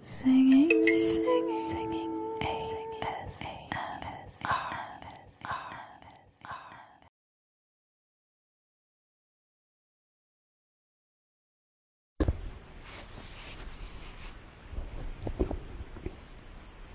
Singing, singing, singing, A S A S R R R.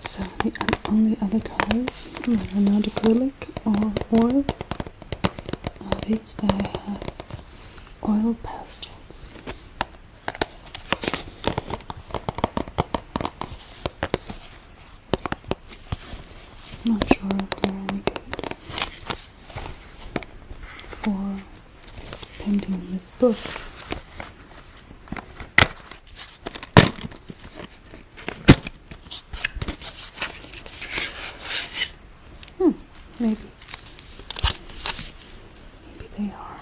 So the only other colors that are not acrylic or oil. All these that have uh, oil pastels. I'm not sure if they're any good for painting this book. Hmm, maybe. Maybe they are.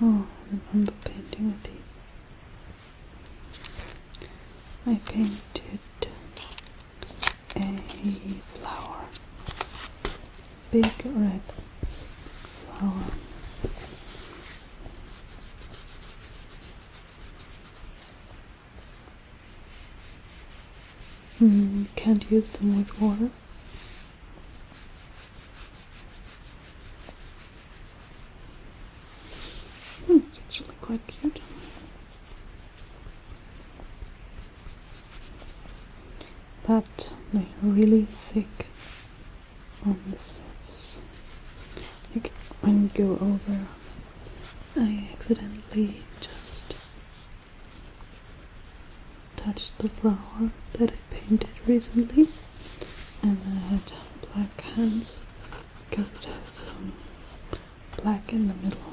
Oh, I remember painting with these. I painted a flower, big red flower. Mm, can't use them with water. Hmm, it's actually quite cute. But they're really thick on the surface. I go over, I accidentally just Touched the flower that I painted recently and I had black hands because it has some black in the middle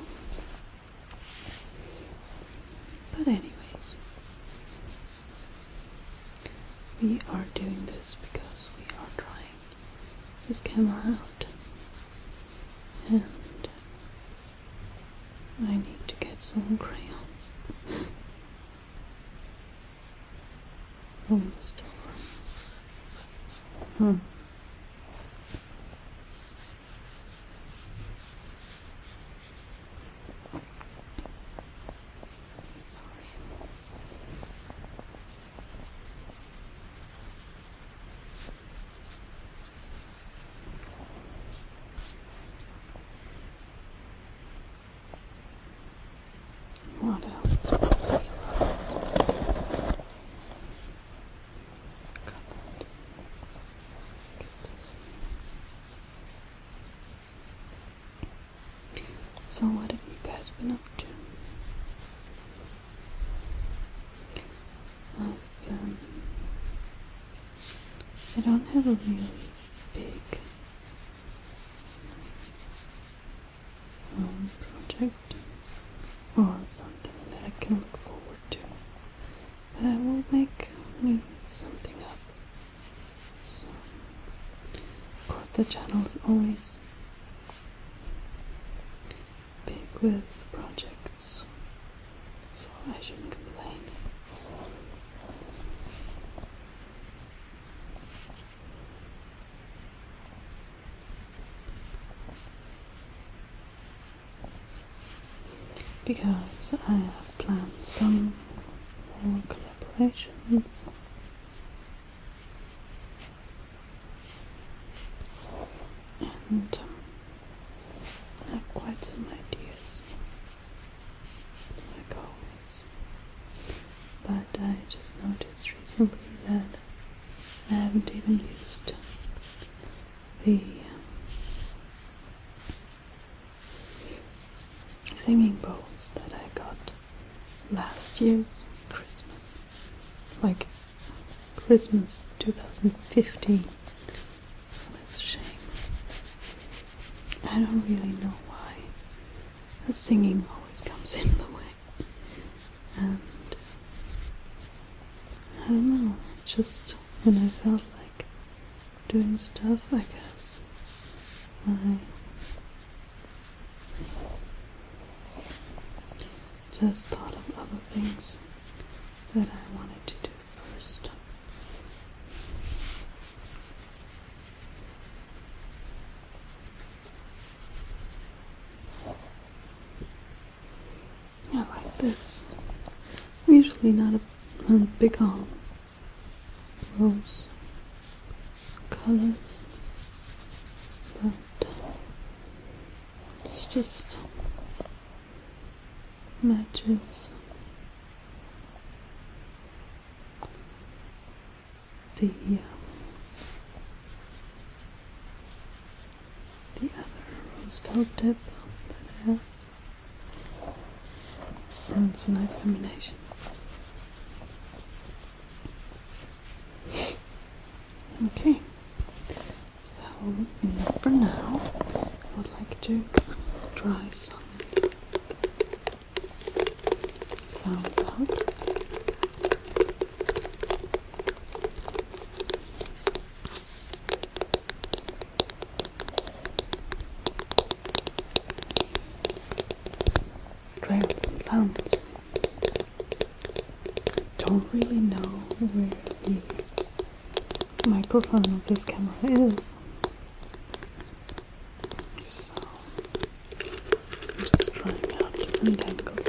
but anyways we are doing this because we are trying this camera out and I need to get some crayons Almost. Hmm. What else? Cupboard. This? So what have you guys been up to? I've I don't have a really big um, project or something that I can look forward to, but I will make me something up. of course, the channel is always big with projects so I shouldn't complain. Because I have planned some collaborations. And um, I have quite some ideas like always. But I just noticed recently that I haven't even used the um, singing bowls that I got last year's Christmas. Like Christmas 2015 so that's a shame. I don't really know why the singing always comes in the way. And I don't know, just when I felt like doing stuff, I guess. I just thought of other things that I wanted to do first. I like this. usually not a, not a big on rose colors, but it's just matches the uh, the other rose felt tip that And it's a nice combination. Okay, so enough for now. I would like to try some sounds out. Great sounds. Don't really know where the microphone of this camera is. So i just trying out different angles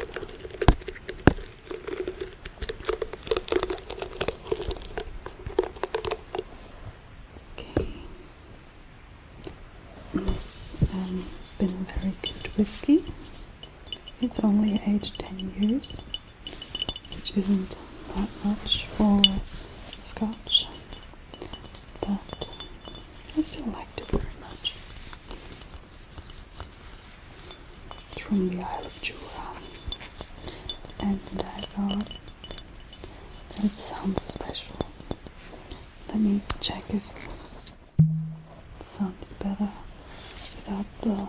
Okay. This um, has been a very good whiskey. It's only aged 10 years which isn't that much for scotch, but I still like it very much. It's from the Isle of Jura, and I thought that it sounds special. Let me check if it sounded better without the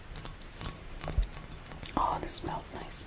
Oh, this smells nice.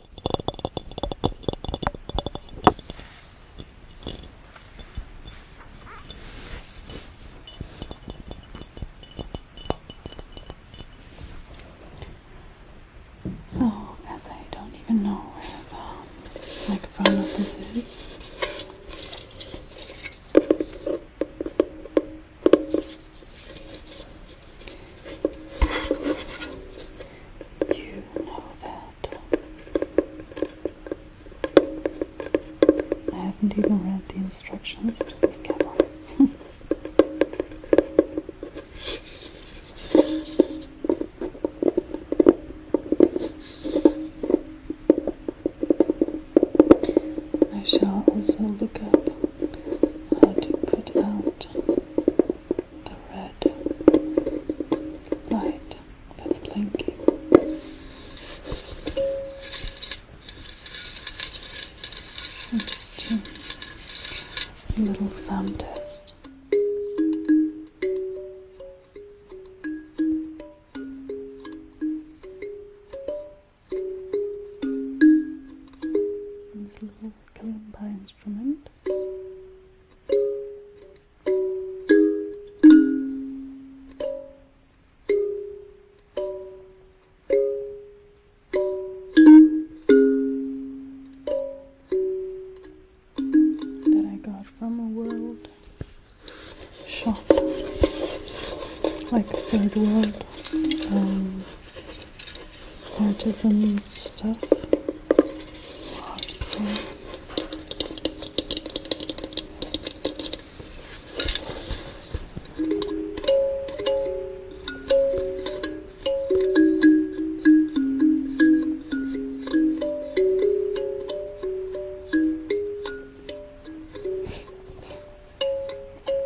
So, as I don't even know where the um, microphone of this is, you know that. I haven't even read the instructions to this camera. I shall also look up how to put out the red light that's blinking. just a little sound test kalimba instrument. that I got from a world shop like a third world um, artisan stuff. Lots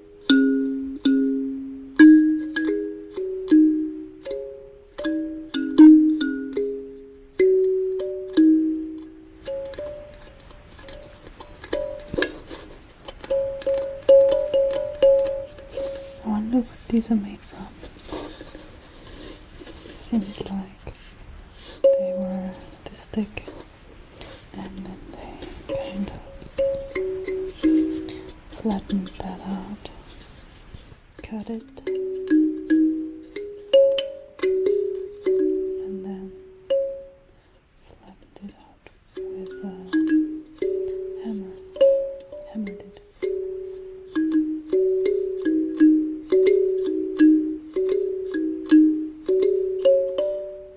I wonder what these are made from. Seems like they were this thick and then they kind of Flatten that out, cut it, and then flattened it out with a hammer, hammered it.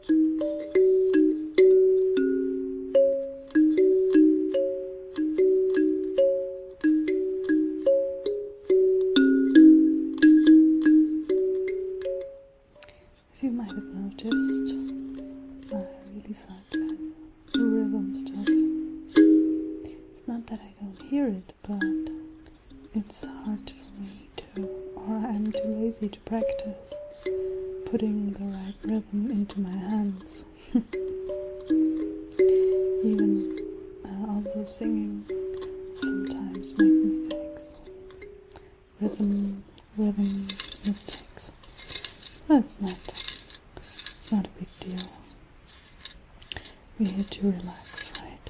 As you might have noticed, I really suck at rhythm stuff. It's not that I don't hear it, but it's hard for me to, or I'm too lazy to practice putting the right rhythm into my hands. Even uh, also singing sometimes make mistakes. Rhythm, rhythm, mistakes. That's not, not a big deal. We're to relax, right?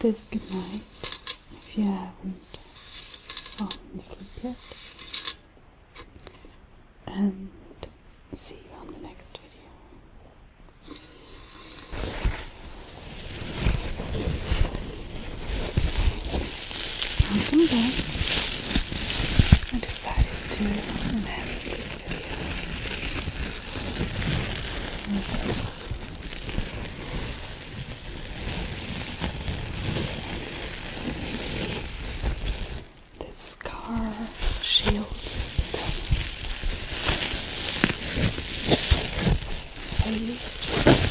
this good night if you haven't fallen asleep yet. And see you on the next video. Welcome back. I decided to enhance this video. This scar shield I used to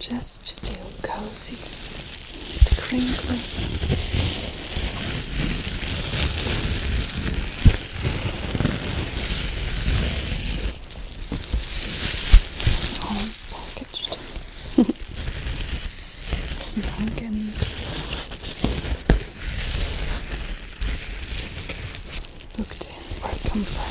Just to feel cozy, and crinkly all packaged, snug and booked in for comfort.